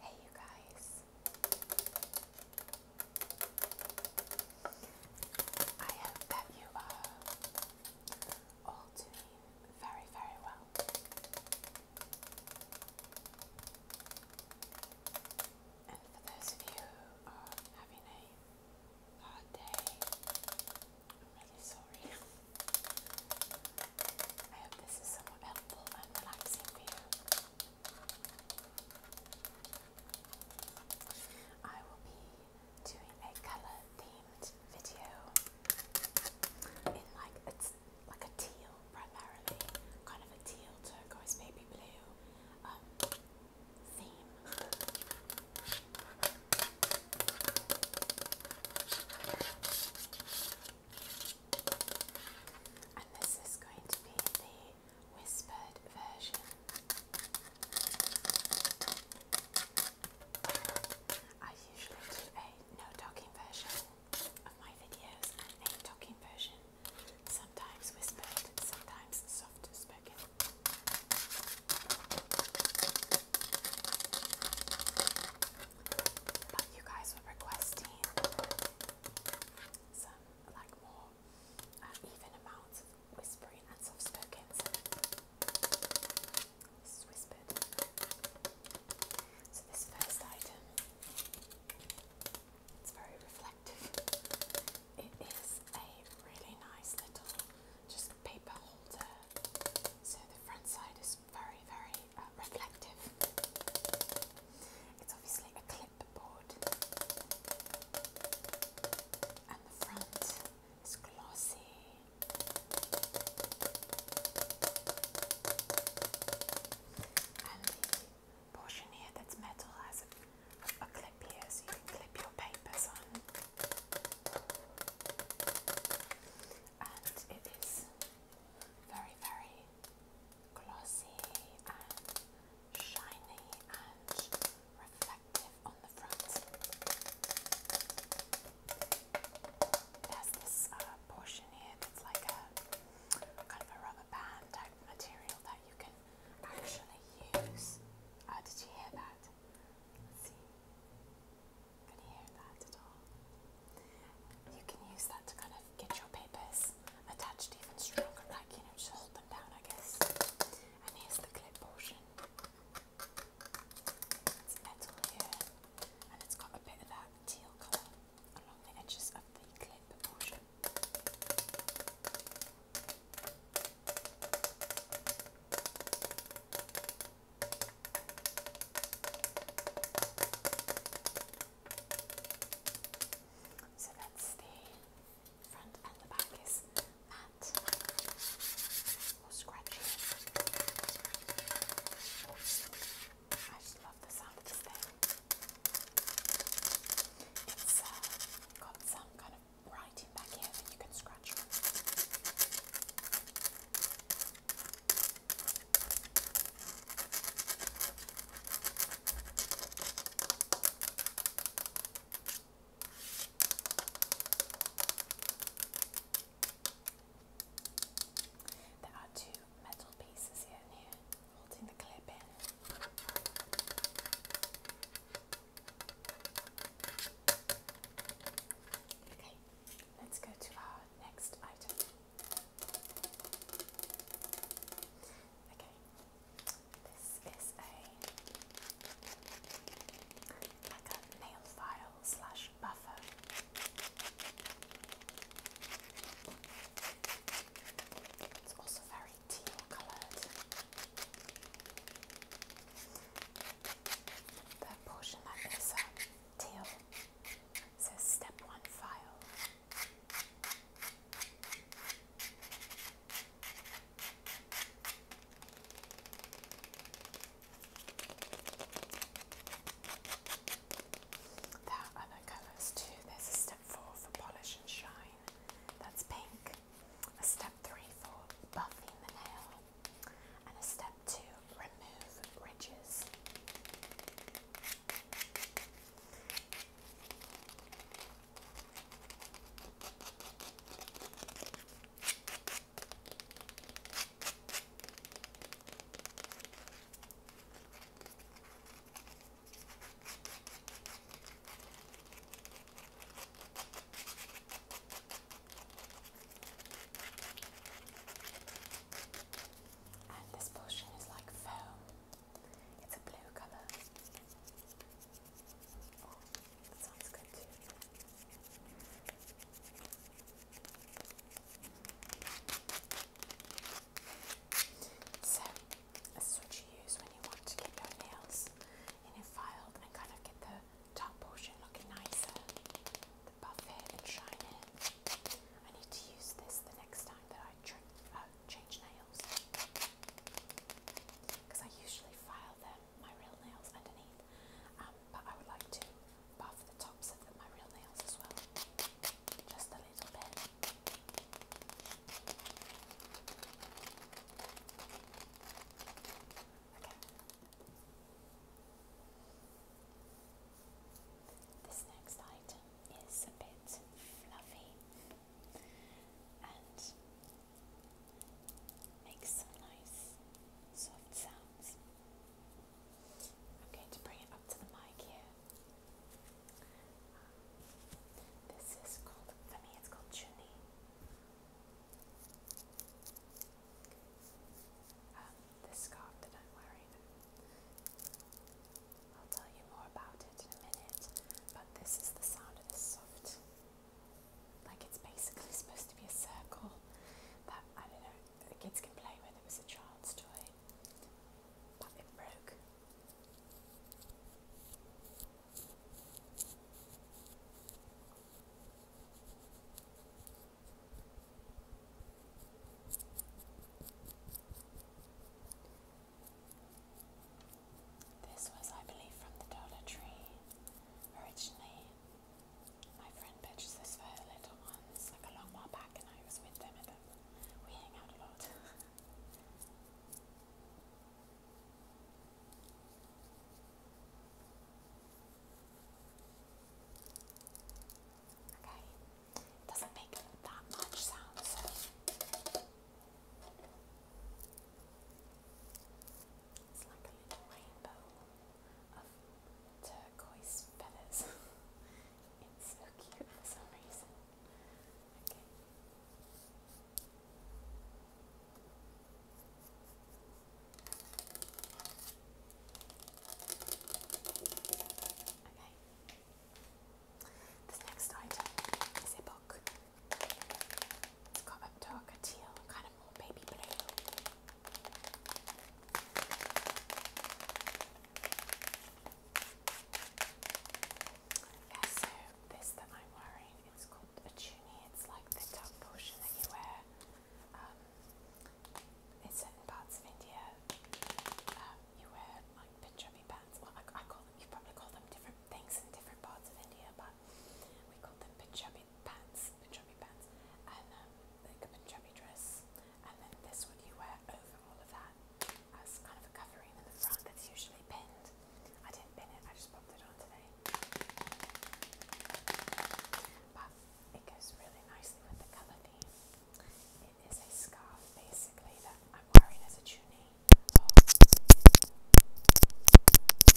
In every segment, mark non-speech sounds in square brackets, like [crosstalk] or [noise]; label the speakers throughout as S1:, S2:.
S1: Hey, you guys. I hope that you are all doing very, very well. And for those of you who are having a Oh dang. I'm really sorry. I hope this is somewhat helpful and relaxing for I will be doing a colour themed video in like it's like a teal primarily, kind of a teal turquoise, maybe blue, um, and this is going to be the whispered version. I usually do a no talking version of my videos and a talking version, sometimes whispered, sometimes soft spoken. But you guys were requesting some like more um, even amounts of whispering and soft spoken. So this is So this first item, it's very reflective it is a really nice little just paper holder. So the front side is very, very uh, reflective. It's obviously a clipboard, and the front is glossy. And the portion here that's metal has a a clip here so you can clip your papers on. And it is very, very glossy and shiny and reflective on the front. It has this uh, portion here that's like a kind of a rubber band type material that you can actually use. Oh, did you hear that? You can use that to kind of get your papers attached even stronger, like, you know, just hold them down, I guess. And here's the clip portion. It's metal here, and it's got a bit of that teal colour along the edges of the clip portion. So that's the front and the back is matte or scratchy. I just love the sound of this thing. It's uh, got some kind of writing back here and you can scratch There are two metal pieces here and here holding the clip in. Okay, let's go to our next item. Okay, this is a nail file slash buffer. It's also very teal coloured the portion that goes up says step one file. There other colours too. There's a step four for polish and shine. That's pink. A step three for buffing the nail, and a step two, remove ridges. And this portion is like foam. It's a blue colour. Oh, good too. So, this is what you use when you want to get your nails in file and kind of get the top portion looking nicer, buff it and shine it. I need to use this the next time that I uh, change nails because I usually file them, my real nails underneath, um, but I would like to buff the tops of my real nails as well, just a little bit. This next item is a bit fluffy and makes some nice soft sounds. I'm going to bring it up to the mic here. This is called, for me it's called chuni. Um, this scarf that I'm wearing, I'll tell you more about it in a minute, but this is the sound of this soft. Like it's basically [laughs] supposed to be a circle that, I don't know, the kids can play with. It was a child's toy, but it broke. This was, I believe, from the Dollar Tree originally. My friend purchased this for her little ones like a long while back, and I was with them at them. We hang out a lot. [laughs] Okay, doesn't make that much sound, It's like a little rainbow of turquoise feathers. [laughs] it's so cute for some reason. Okay. This next item is a book. It's got a darker teal, kind of more baby blue. this that I'm wearing, it's called a tunie. It's like the top portion that you wear um, in certain parts of India, um, you wear like Punjabi pants. Well, I, call them. You probably call them different things in different parts of India, but we call them Punjabi pants. Punjabi pants, and um, like a Punjabi dress, and then this one you wear over all of that as kind of a covering in the front that's usually pinned. I didn't pin it. I just popped it on today. But it goes really nicely with the colour theme. It is a scarf basically that I'm wearing as a tunie. Oh.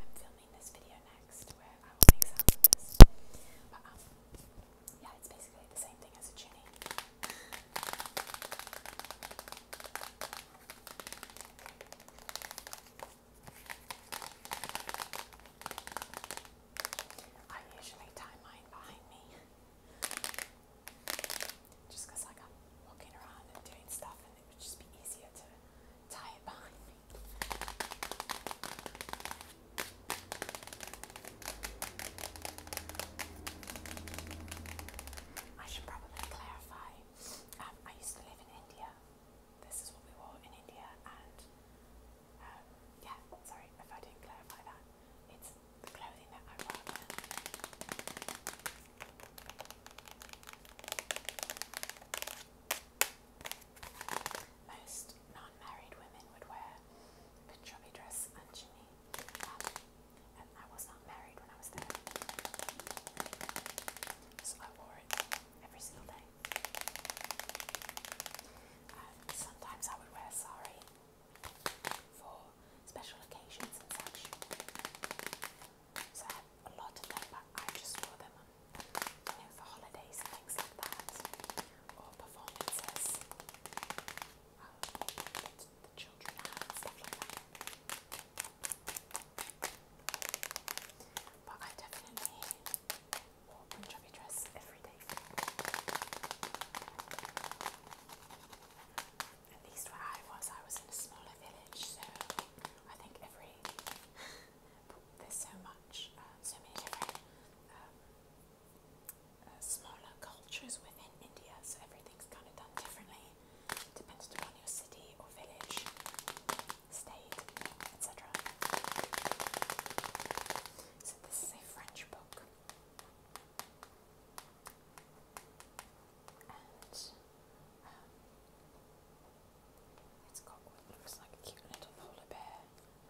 S1: I'm filming this video next where I will make sounds of this. But um, yeah, it's basically the same thing as a tunie. I usually tie mine behind me just I'm walking around and doing stuff and it would just be easier to tie it behind me. I should probably clarify. Um, I used to live in India this is what we wore in India, and um, yeah, sorry if I didn't clarify that. It's the clothing that I Most non women would wear a chubby dress and chimney, um, and I was not married when I was there, so I wore it every single day. And sometimes I would wear sari for special occasions and such. So a lot of them, but I just wore them you for holidays and things like that, or performances. Um, the, the children stuff like that. But I definitely wore Punjabi At least where I was, I was in a smaller village, so I think every [laughs] there's so much, uh, so many different um, uh, smaller cultures within India, so everything's kind of done differently depending upon your city or village state, etc. So, this is a French book, and um, it's got looks like a cute little polar bear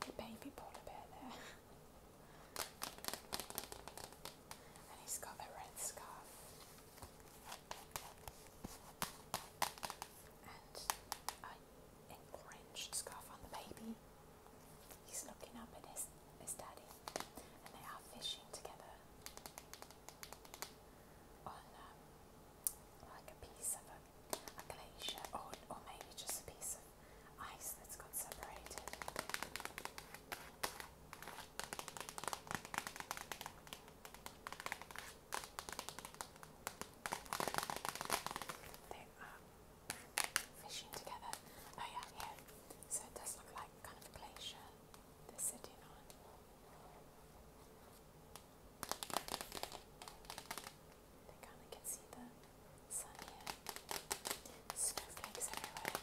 S1: with a baby polar bear there. And he's got a red scarf. And I uh, and orange scarf on the baby. He's looking up at his, his daddy, and they are fishing together on um, like a piece of a glacier, or, or maybe just a piece of ice that's got separated. They are fishing together. Oh yeah, here. So it does look like kind of a glacier they kind of can see the sun here. Snowflakes everywhere.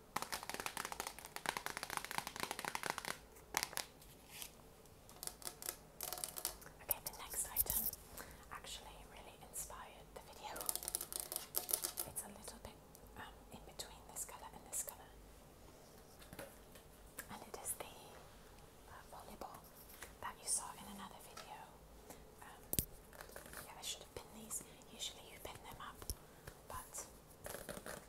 S1: Okay, the next item actually really inspired the video. It's a little bit um, in between this colour and this colour. And it is the uh, volleyball that you saw in another video. Um, should have these. Usually you pin them up, but that's okay.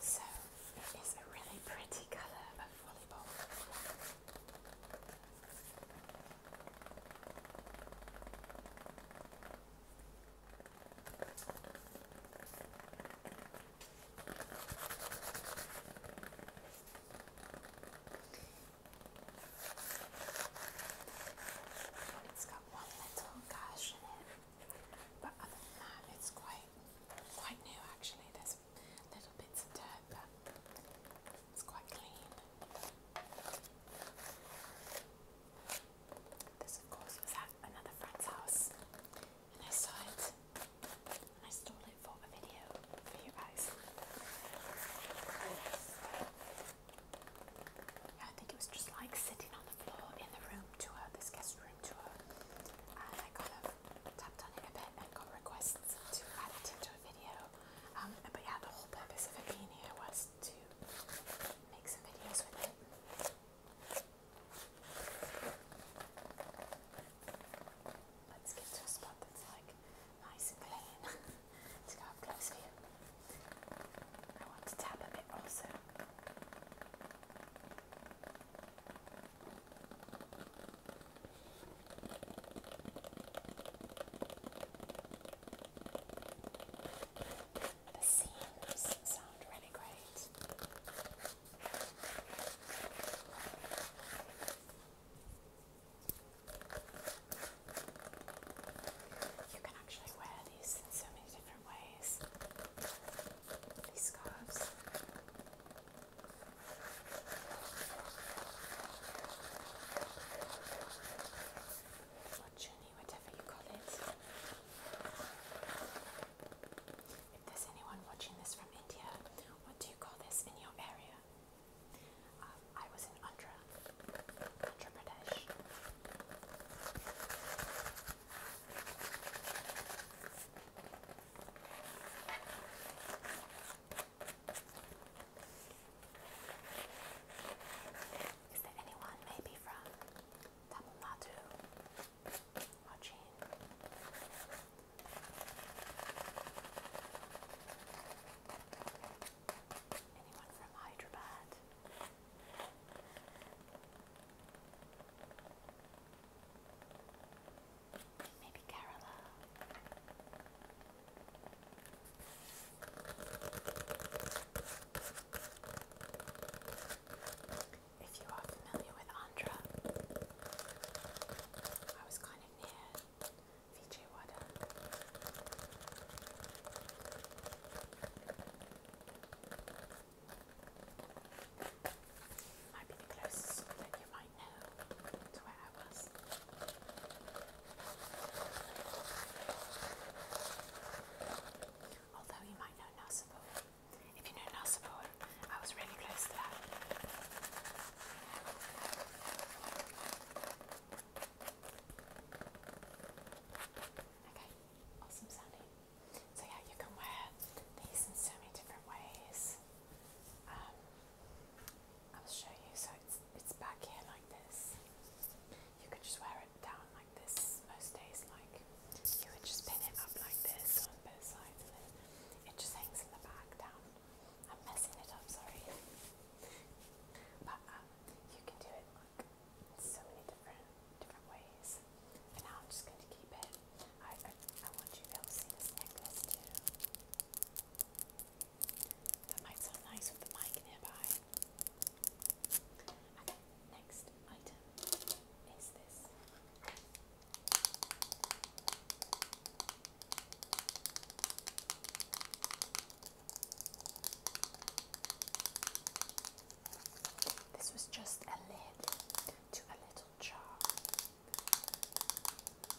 S1: So it is a really pretty colour of volleyball. It's got one little gash in it, but other than that, it's quite quite new actually. There's little bits of dirt, but it's quite clean. This, of course, was at another friend's house, and I saw it I stole it for a video for you guys. I think it was just like sitting on the floor in the room tour, this guest room tour, I kind of tapped on it a bit and got requests to add into a video. Um, but yeah, the whole purpose of it being here was to make some videos with it let's get to a spot that's like nice and clean. [laughs] let's go up close here. I want to tap a bit also. The seams sound really great. You can actually wear these in so many different ways. These scarves. Or whatever you call it. If there's anyone watching this from India, what do you call this in your area? Um, I was in Andhra, Andhra Pradesh. Is there anyone maybe from Tamil Nadu watching? Anyone from Hyderabad? Maybe Kerala. If you are familiar with Andhra, I was kind of near Vijay Might be the closest that you might know to where I was. Although you might know Nassau. If you know Nassau, I was really close to that. Okay, awesome sounding. So yeah, you can wear these in so many different ways. I um, will show you. So it's it's back here like this. You can just wear it down like this most days. Like you would just pin it up like this on both sides, and then it just hangs in the back down. I'm messing it up, sorry. Um, you can do it like in so many different different ways. For now, I'm just going to keep it. I, I I want you to be able to see this necklace too. That might sound nice with the mic nearby. Okay, next item is this. This was just a lid to a little jar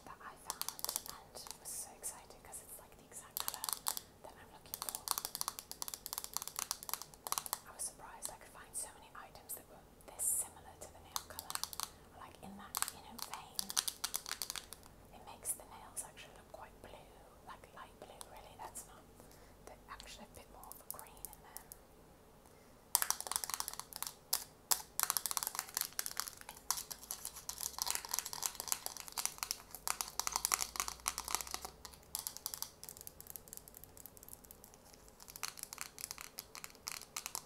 S1: that I found and was so excited because it's like the exact colour that I'm looking for. I was surprised I could find so many items that were this similar to the nail colour like in that you know vein. It makes the nails actually look quite blue, like light blue. Really, that's not. They're actually a bit more of a green in them. Okay,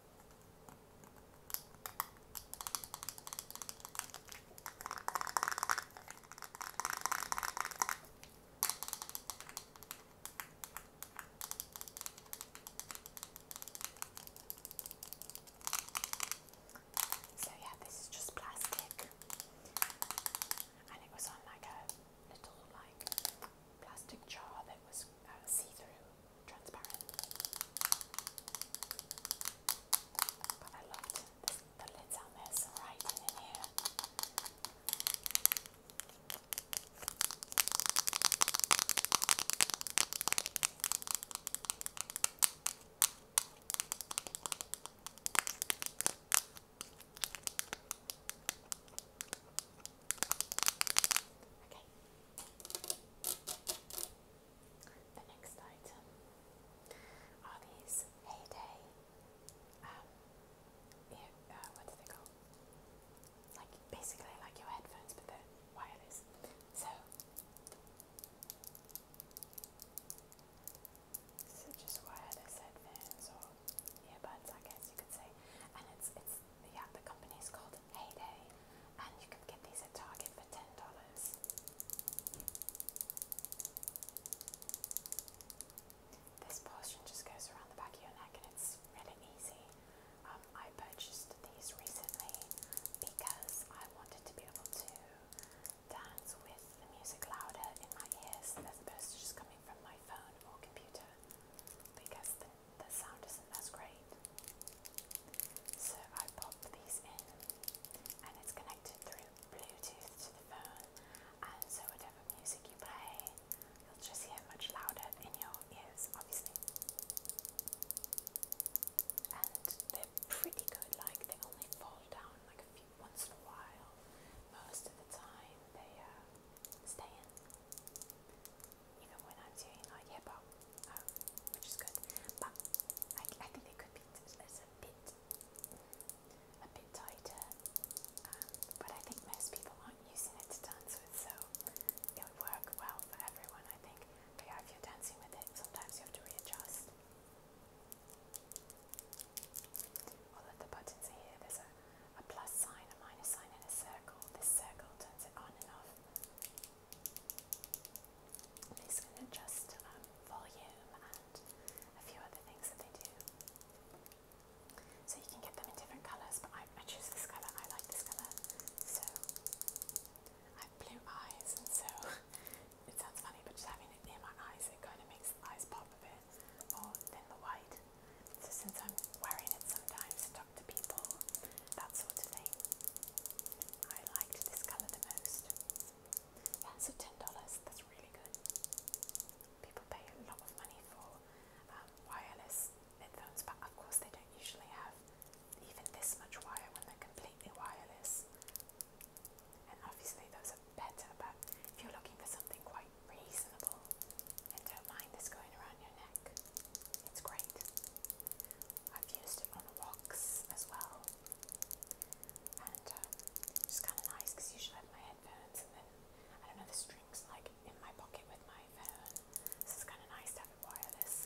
S1: So, yeah, this is just plastic, and it was on like a little like plastic jar that was uh, see through transparent. But I loved the lids on this, right in here. Okay, the next item are these Heyday, um, ear, uh, what are they called? Like, basically like your headphones, but they're wireless. So, so just wireless headphones or earbuds, I guess you could say. And it's, it's yeah, the company is called Heyday, and you can get these at Target for ten dollars. This portion just goes around the back of your neck, and it's really easy. Um, I purchased these recently because I wanted to be able to dance with the music louder in my ears as opposed to just coming from my phone or computer. Because the that sound isn't as great. So I pop these in and it's connected through Bluetooth to the phone and so whatever music you play you'll just hear much louder in your ears obviously. And they're pretty good, like they only fall down like a few once in a while. Most of the time they uh, stay in even when I'm doing like hip hop, um, which is good. But I, I think it could be a bit, a bit tighter. Um, but I think most people aren't using it to dance with, so it would work well for everyone. I think. yeah, if you're dancing with it, sometimes you have to readjust. All the buttons here. There's a, a plus sign, a minus sign, and a circle. This circle turns it on and off i going to adjust um, volume and a few other things that they do. So you can get them in different colours, but I, choose this colour, I like this colour. So I have blue eyes, and so [laughs] it sounds funny, but just having it near my eyes, it kind of makes the eyes pop a bit more than the white. So since I'm wearing it sometimes, talk to people, that sort of thing. I liked this colour the most. Yeah, so $10, that's really good. People pay a lot of money for um, wireless headphones, but of course they don't usually have even this much wire when they're completely wireless. And obviously those are better, but if you're looking for something quite reasonable and don't mind this going around your neck, it's great. I've used it on walks as well, and uh, it's kind of nice because usually I have my headphones and then I don't know the strings like in my pocket with my phone. So it's kind of nice to have it wireless.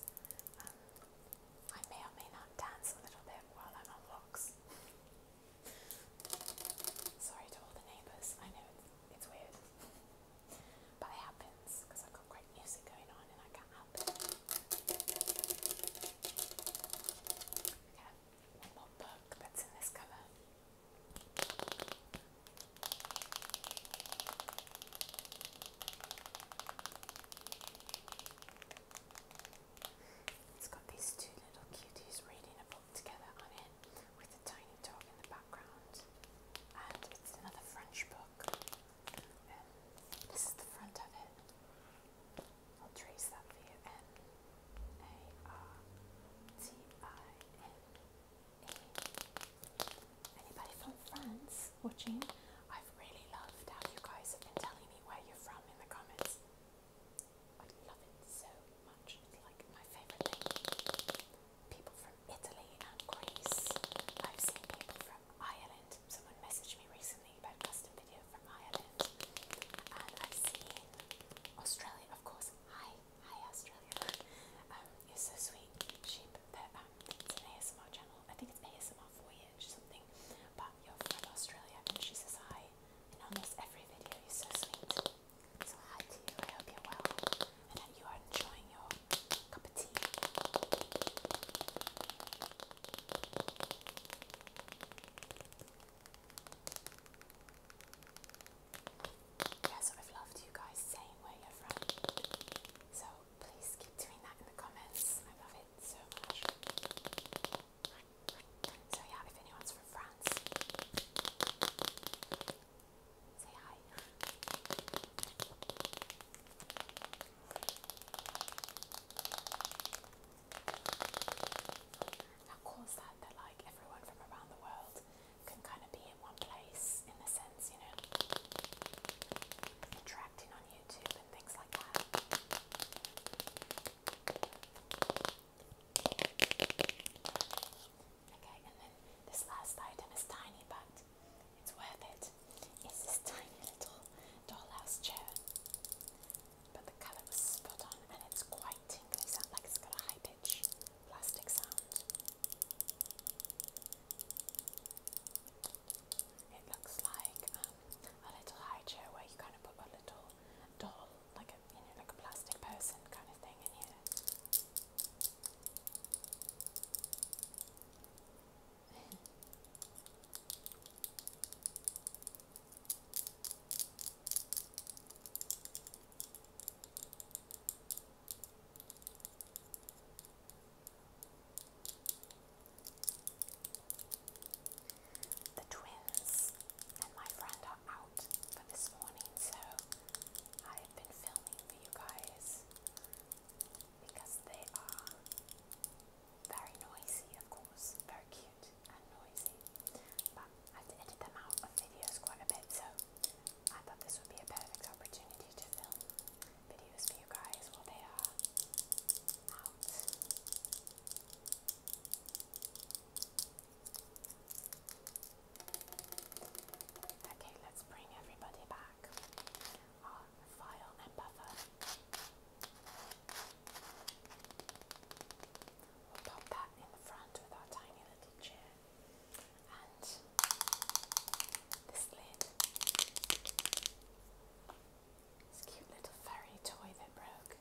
S1: Um, I may or may not dance a little bit while I'm on walks. [laughs] Sorry to all the neighbours. I know it's, it's weird. But it happens because I've got great music going on and I can't help it. Okay, one more book that's in this colour. It's got these two little cuties reading a book together on it with a tiny dog in the background, and it's another French book this is the front of it. I'll trace that for Anybody from France watching? I've really loved how you guys have been telling me where you're from in the comments. I love it so much. It's like my favorite thing people from Italy and Greece. I've seen people from Ireland. Someone messaged me recently about custom video from Ireland. And I've seen Australia, of course. Hi, hi Australia. Um, you're so sweet. Sheep that um it's an ASMR channel. I think it's ASMR voyage something. But you're from Australia and she says hi in almost every video. You're so sweet. So hi to you. I hope you're well and that you are enjoying your Cup I've loved you guys saying where you're from. So please keep doing that in the comments. I love it so much. So yeah, if anyone's from France, Say hi. that? That like everyone from around the world can kind of be in one place, in a sense, you know, interacting on YouTube and things like that. Okay, and then this last item is tiny but it's worth it. It's this tiny little dollhouse chair. But the colour was spot on and it's quite It sounds like it's got a high pitch plastic sound. It looks like um, a little high chair where you kind of put a little doll, like a you know, like a plastic person kind of thing in here the twins and my friend are out for this morning, so I have been filming for you guys because they are very noisy, of course, very cute and noisy. But I've edited them out of videos quite a bit, so I thought this would be a perfect opportunity to film videos for you guys while they are out. Okay, let's bring everybody back on file and buffer. We'll pop that in the front with our tiny little chair and this lid. This cute little furry toy that broke.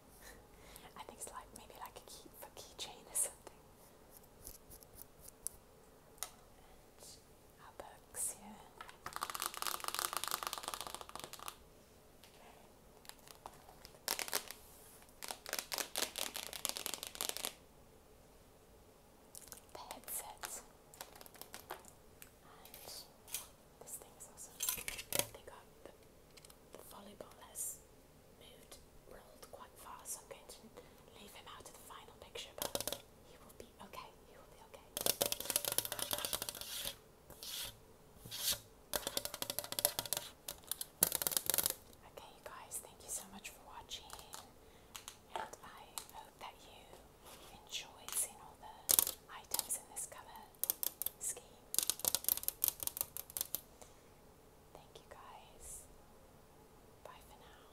S1: I think it's like maybe like a key for keychain or something our books here. The headsets. And this thing is They got the, volleyball has moved, rolled quite far, so I'm going to leave him out of the final picture. Okay, you guys, thank you so much for watching. And I hope that you enjoyed seeing all the items in this color scheme. Thank you guys. Bye for now.